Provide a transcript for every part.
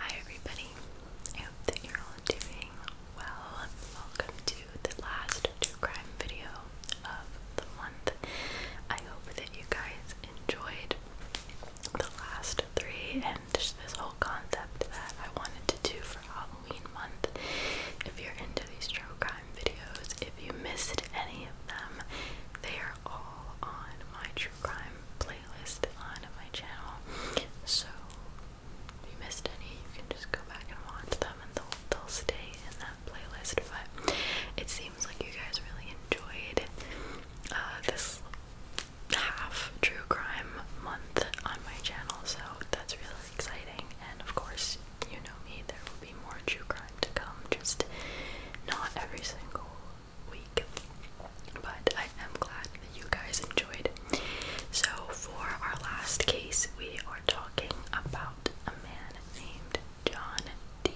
Hi everybody, I hope that you're all doing well. Welcome to the last true crime video of the month. I hope that you guys enjoyed the last three just this whole concept that I wanted to do for Halloween month. If you're into these true crime videos, if you missed any of them, they are all on my true crime playlist on my channel. So if you missed any, you can just go back and watch them and they'll, they'll stay in that playlist. But it seems like you guys really enjoyed uh, this half true crime month on my channel, so that's really exciting. And of course, you know me, there will be more true crime to come, just not every single week. But I am glad that you guys enjoyed. So, for our last case, we are talking about a man named John D.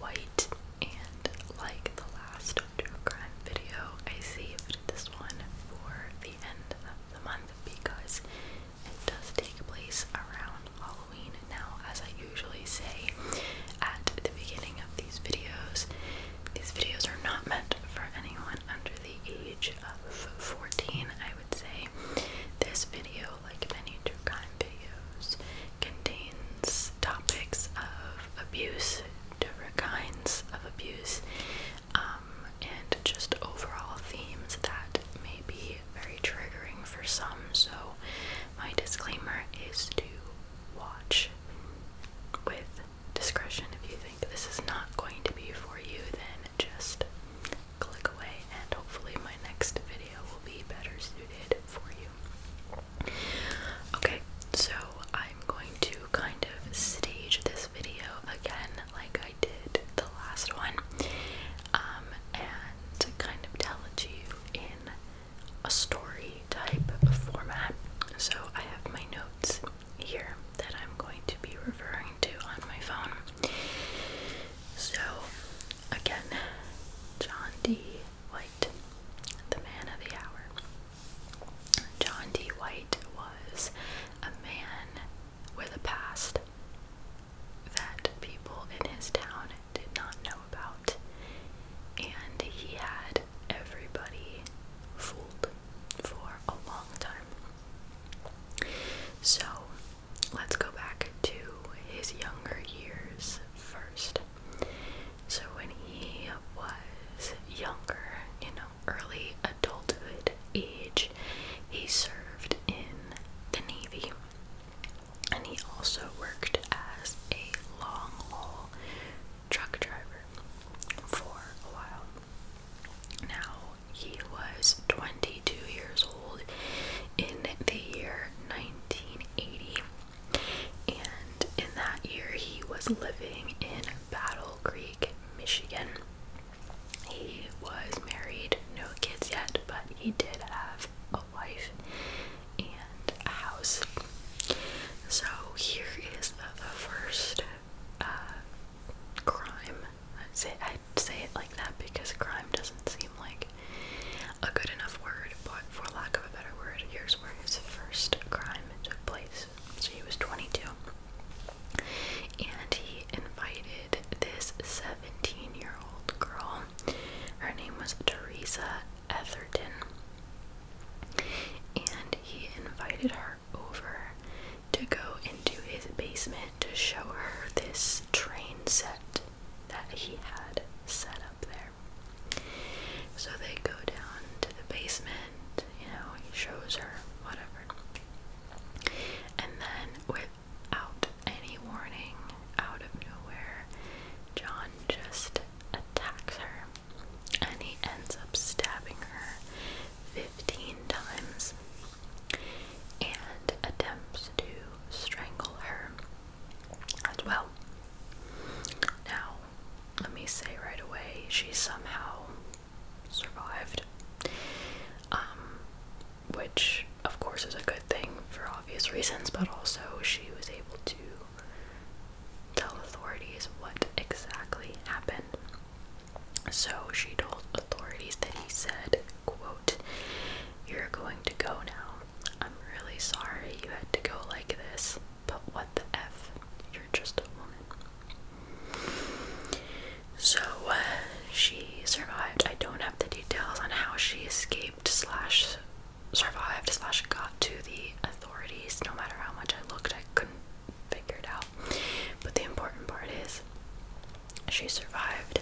White, and like the last true crime video. I saved this one for the end of the month because it does take place around Halloween. Now, as I usually say at the beginning of these videos, these videos are not meant for anyone under the age of 14, I would say. This video, like many true crime videos, contains topics of abuse, different kinds of abuse um, and just overall themes that may be very triggering for some. So, my disclaimer is to watch with discretion. If you think this is not going to be for you, then just click away, and hopefully, my next video will be better suited for you. Okay, so I'm going to kind of stage this video again, like I did the last one, um, and kind of tell it to you in a story type format. So I have my notes here that I'm going to be referring to on my phone. So, again, John D. White, the man of the hour, John D. White was a man with a past that people in his town did not know about, and he had everybody fooled for a long time. So let's go back to his younger years first. So when he was younger, you know, early adulthood age, he served in the Navy. And he also worked as a long haul truck driver for a while. Now, he was 22 years old in the year 1980 and in that year, he was living in Battle Creek, Michigan. He was married, no kids yet, but he did have a wife and a house. So here is the, first uh, crime. i say, i say it like that because crime doesn't seem like a good enough word, but for lack of a better word, here's where his first crime took place. So he was 22. And he invited this 17 year old girl. Her name was Teresa Etherton. And he invited her over to go into his basement to show her this train set that he had set up there. So they go down to the basement, you know, he shows her, whatever. And then, without any warning, out of nowhere, John just attacks her and he ends up stabbing her 15 times and attempts to strangle her as well. Now, let me say right away, she somehow survived. Um, which, of course, is a good thing for obvious reasons, but also she was able to tell authorities what exactly happened. So she told authorities that he said, quote, You're going to go now. I'm really sorry you had to go like this but what the F? You're just a woman. So uh, she survived. I don't have the details on how she escaped, slash, survived, slash, got to the authorities. No matter how much I looked, I couldn't figure it out. But the important part is she survived.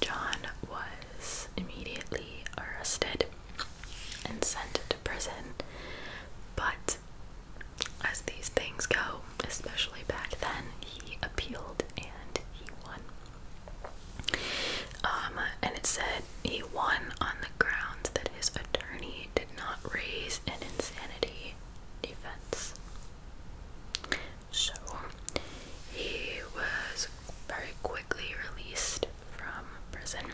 John was immediately arrested and sent to prison. But as these things go, especially back then, he appealed and he won. Um, and it said he won on the grounds that his attorney did not raise an insanity defense. So he was very quickly released from prison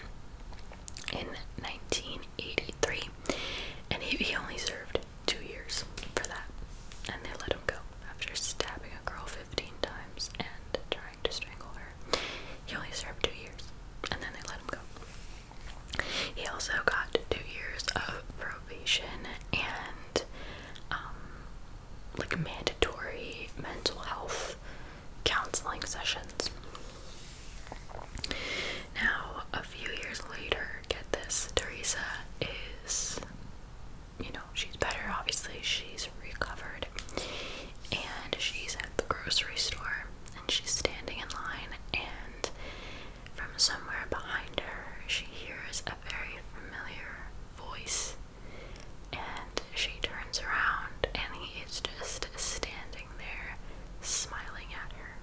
in 1983, and he, he only served two years for that. And they let him go after stabbing a girl 15 times and trying to strangle her. He only served two years, and then they let him go. He also got two years of probation and um, like mandatory mental health counseling sessions. Now, a few years later, get this, Teresa is, you know, she's better, obviously, she's recovered, and she's at the grocery store, and she's standing in line, and from somewhere behind her, she hears a very familiar voice and she turns around and he is just standing there smiling at her.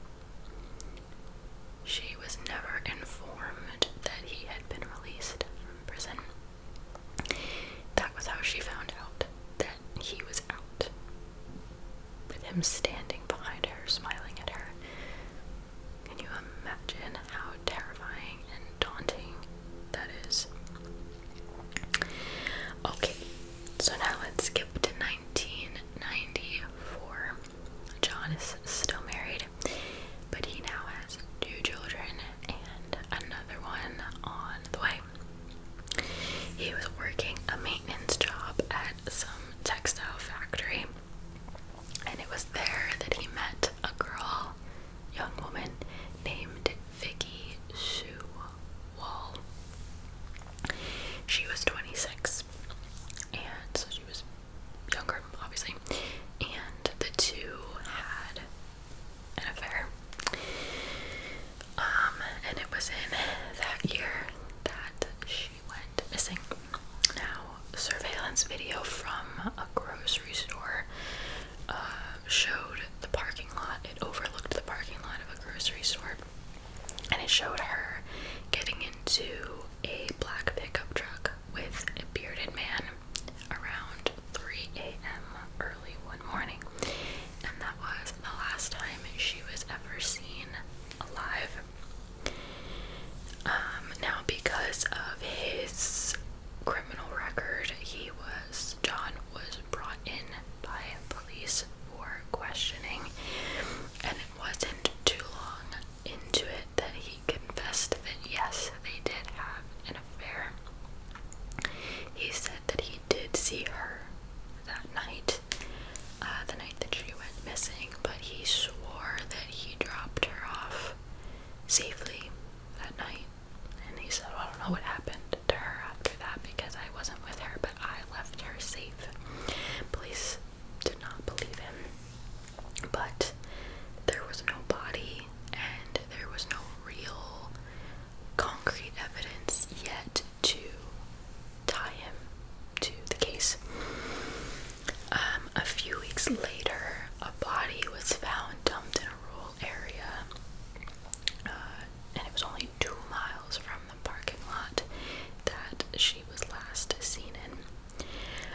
She was never informed that he had been released from prison. That was how she found out that he was out. With him standing behind her, smiling at her. Can you imagine how terrifying and daunting that is. Okay, so now let's skip to 1994. John is still married, but he now has two children and another one on the way. He was working a maintenance job at some textile factory, and it was there that he met a girl young woman named Vicky Sue Wall. She was 26, and so she was younger, obviously. And the two had an affair. Um, and it was in that year that she went missing. Now, surveillance video from a grocery store uh, showed the parking lot. It overlooked the parking lot of a grocery store. And it showed her getting into a black pickup truck with a bearded man around 3 a.m. early one morning. And that was the last time she was ever seen alive. Um, now, because of his criminal record, he John was brought in by police for questioning, and it wasn't too long into it that he confessed that yes, they did have an affair. He said that he did see her that night, uh, the night that she went missing, but he swore that he dropped her off safely that night and he said, well, I don't know what happened to her after that because I wasn't with her, but I left her safe. Police did not believe him, but there was no body and there was no real concrete evidence yet to tie him to the case. Um, a few weeks later, a body was found dumped in a rural area, uh, and it was only two miles from the parking lot that she was last seen in.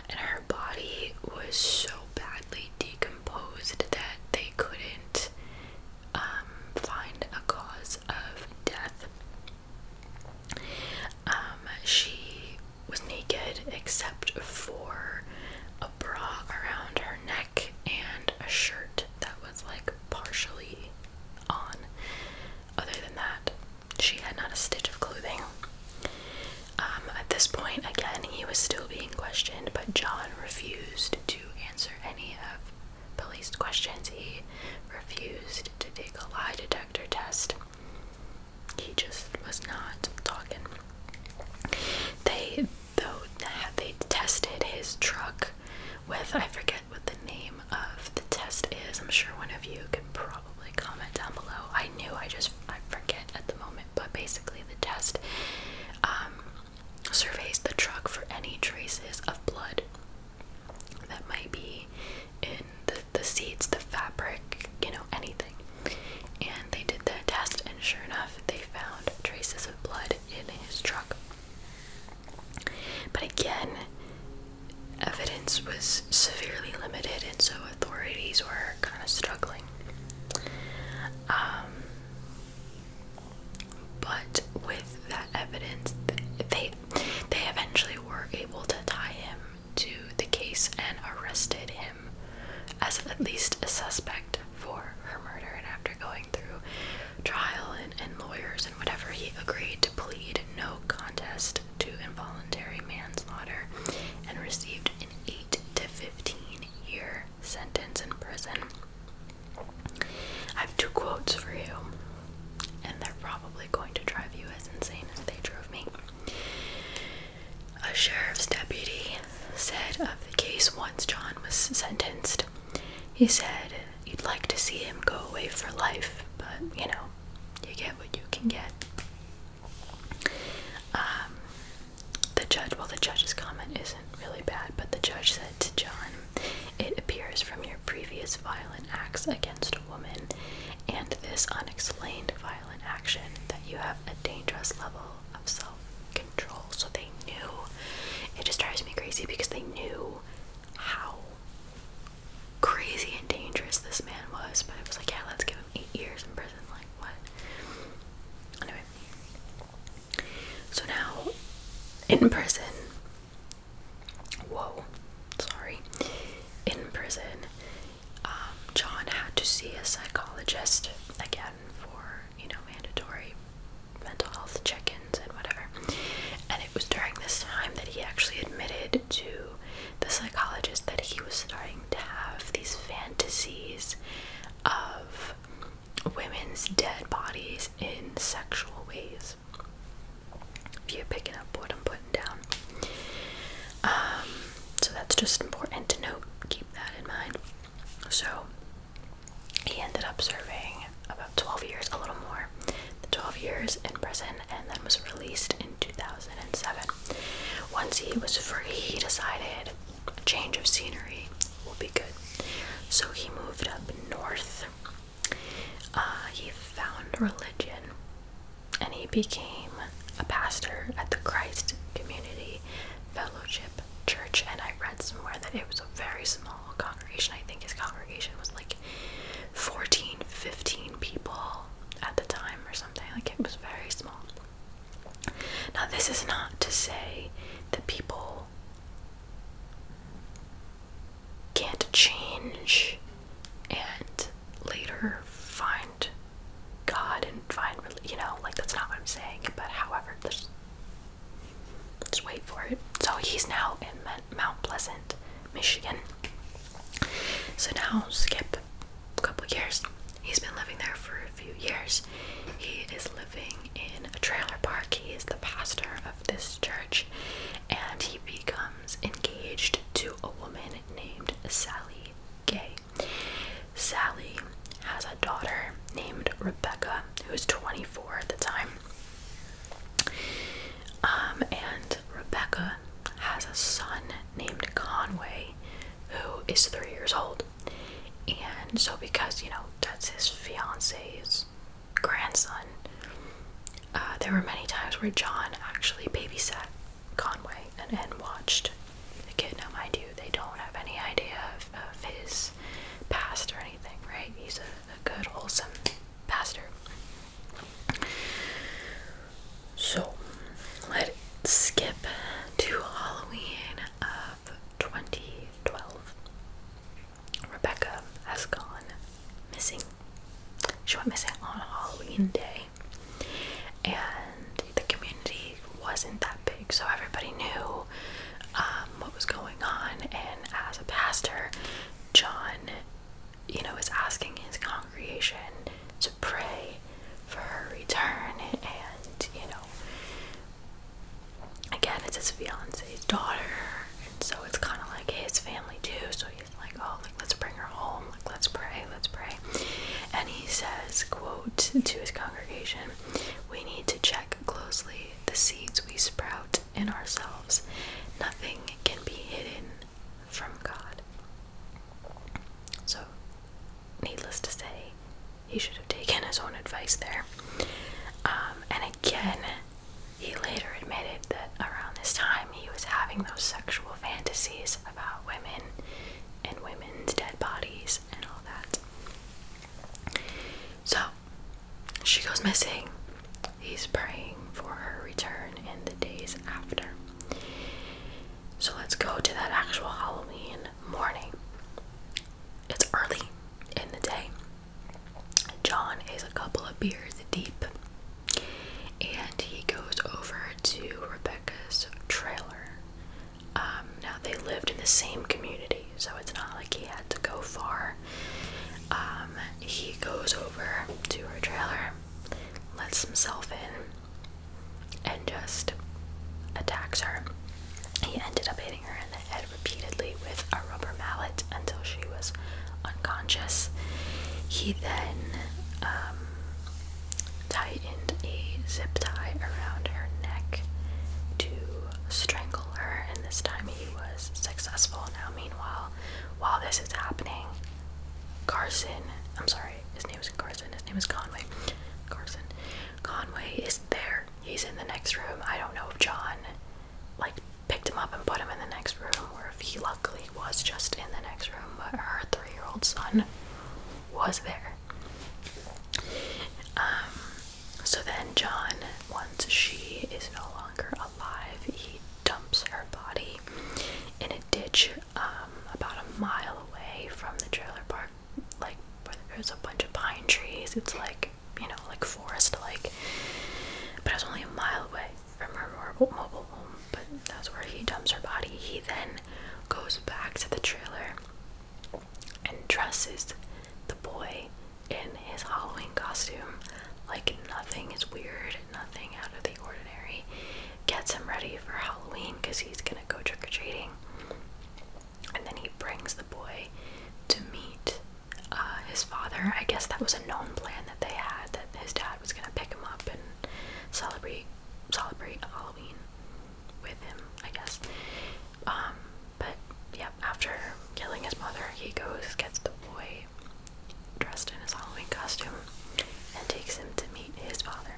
And her body was so badly decomposed that they couldn't um, find a cause of death. Um, she was naked except for bra around her neck and a shirt that was like partially on. Other than that, she had not a stitch of clothing. Um, at this point, again, he was still being questioned, but John refused to answer any of police questions. He refused to take a lie detector test he just was not talking. They though they tested his truck with I forget what the name of the test is. I'm sure one of you can probably comment down below. I knew I just I forget at the moment, but basically the test um, surveys the truck for any traces of blood that might be in the the seats, the fabric, you know, anything. And they did that test, and sure enough, they found traces of blood in his truck. But again, evidence was severely limited, and so authorities were kind of struggling. Um, but with that evidence, they they eventually were able to tie him to the case and arrested him as at least a suspect for her murder. And after going through trial and, lawyers and whatever, he agreed to plead no contest to involuntary manslaughter and received an 8 to 15 year sentence in prison. I have two quotes for you, and they're probably going to drive you as insane as they drove me. A sheriff's deputy said of the case once John was sentenced. He said, You'd like to see him go away for life, but you know, you get what you can get. Um, the judge, well, the judge's comment isn't really bad, but the judge said to John, It appears from your previous violent acts against a woman and this unexplained violence in action that you have a dangerous level of self control. So they knew. It just drives me crazy because they knew how crazy and dangerous this man was. But it was like, yeah, let's give him eight years in prison. Like, what? Anyway. So now, in prison. Whoa. Sorry. In prison, um, John had to see a psychologist again for you know mandatory mental health check-ins and whatever. And it was during this time that he actually admitted to the psychologist that he was starting to have these fantasies of women's dead bodies in sexual ways. If you pick it up what I'm putting um, so that's just important to note. Keep that in mind. So he ended up serving about 12 years, a little more, the 12 years in prison, and then was released in 2007. Once he was free, he decided a change of scenery would be good. So he moved up north. Uh, he found religion and he became a pastor at the Christ Community Fellowship Church. And I read somewhere that it was a very small congregation. I think his congregation was like 14, 15 people at the time or something. Like it was very small. Now, this is not to say that people can't change and later find God and find, you know, like that's not what I'm saying, but however, just, just wait for it. So he's now in Mount Pleasant, Michigan. So now, skip a couple years. He's been living there for a few years. He is living in a trailer park. He is the pastor of this church, and he becomes engaged to a woman named Sally Gay. Sally has a daughter named Rebecca, who's 24 at the time. Um, and Rebecca has a son named Conway, who is three years old. And so, because you know that's his fiance's grandson, uh, there were many times where John actually babysat Conway and, and watched the kid. Now, mind you, they don't have any idea of, of his past or anything, right? He's a, a good, wholesome pastor. So, let's skip to Halloween of 2012. Rebecca has gone missing. She went missing on Halloween Day and the community wasn't that big, so everybody knew um, what was going on. And as a pastor, John, you know, was asking his congregation to pray for her return, and you know. Again, it's his fiance's daughter, and so it's kind of like his family too. So like, oh, like, let's bring her home. Like, let's pray, let's pray. And he says, quote, to his congregation, we need to check closely the seeds we sprout in ourselves. Nothing can be hidden from God. So, needless to say, he should have taken his own advice there. Um, and again, he later admitted that around this time he was having those sexual fantasies about women and women's dead bodies and all that. So she goes missing. He's praying for her return in the days after. So let's go to that actual Halloween morning. It's early in the day. John is a couple of beers deep and he goes over to Rebecca's trailer. Um, now they lived in the same community, so it's not like he had to go far. Um, he goes over to her trailer, lets himself in, and just attacks her. He ended up hitting her in the head repeatedly with a rubber mallet until she was unconscious. He then um, tightened a zip tie around her neck to strangle her, and this time he was successful. Now, meanwhile, while this is happening, Carson, I'm sorry, his name isn't Carson, his name is Conway. Carson. Conway is there. He's in the next room. I don't know if John, like, picked him up and put him in the next room, where if he luckily was just in the next room, but her three year old son was there. Um, so then, John, once she is no longer alive, he dumps her body in a ditch um, about a mile away from the trailer park, like where there's a bunch of pine trees. It's like, you know, like forest like, but it was only a mile away from her mobile home, but that's where he dumps her body. He then goes back to the trailer and dresses the boy in his Halloween costume. Like nothing is weird, nothing out of the ordinary. Gets him ready for Halloween because he's gonna go trick or treating. And then he brings the boy to meet uh, his father. I guess that was a known plan that they had that his dad dad was gonna pick him up and celebrate celebrate Halloween with him, I guess. Um, but yeah, after killing his mother, he goes, gets the boy dressed in his Halloween costume, and takes him to meet his father.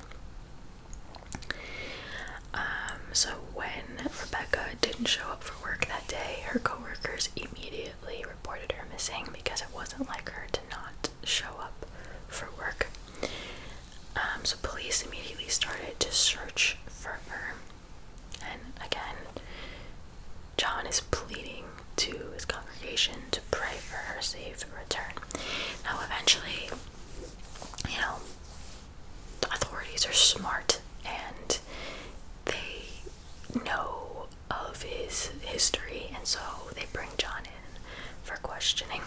Um, so when Rebecca didn't show up for work that day, her coworkers immediately immediately reported her missing because it wasn't like her to not show up for work. Um, so police immediately started to search for her. And again, John is pleading to his congregation to pray for her safe return. Now, eventually, you know, the authorities are smart and they know of his history, and so they bring John in for questioning.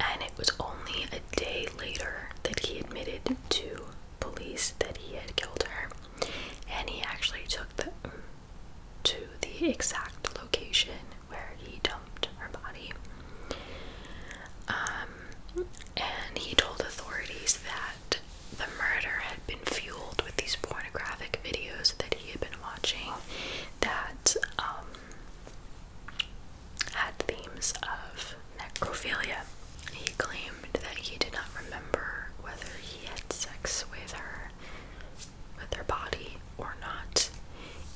And it was only a day later that he admitted to police that he had killed her, and he actually took them to the exact location where he dumped her body. Um, and he told authorities that the murder had been fueled with these pornographic videos that he had been watching that um, had themes of necrophilia. He claimed that he did not remember whether he had sex with her, with her body, or not,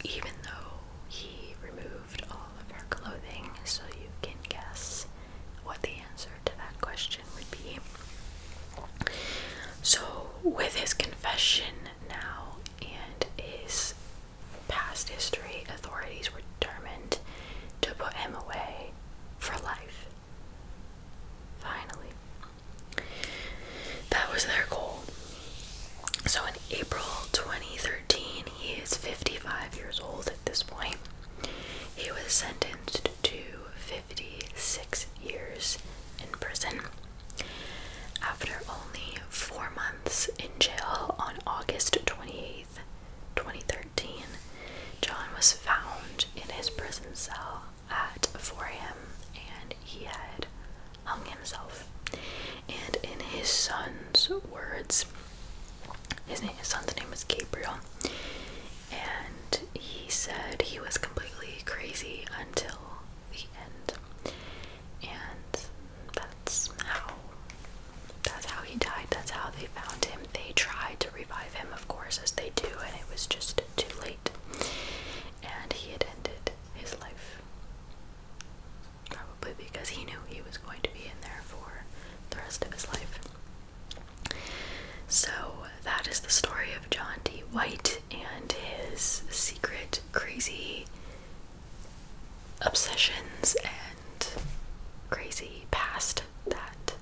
even though he removed all of her clothing, so you can guess what the answer to that question would be. So, with his confession now and his past history, authorities were determined to put him away for life. Finally. That was their goal. So, in April 2013, he is 55 years old at this point. He was sentenced to 56 years in prison. After only four months in jail on August twenty-eighth, 2013, John was found in his prison cell at 4 a.m. and he had hung himself. And in his son's words, his, son's name was Gabriel, and he said he was completely crazy until the end, and that's how that's how he died. That's how they found him. They tried to revive him, of course, as they do, and it was just too late, and he had ended his life. Probably because he knew he was going to be in there for the rest of his life. So, that is the story of John D. White and his secret, crazy obsessions and crazy past that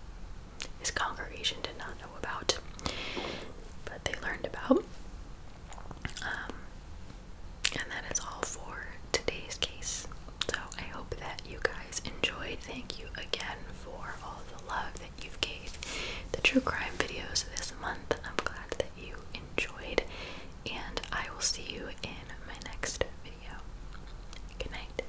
his congregation did not know about, but they learned about. Um, and that is all for today's case. So I hope that you guys enjoyed. Thank you again for all the love that you've gave the true crime videos this month. I'm glad that you enjoyed and I will see you in my next video. Good night.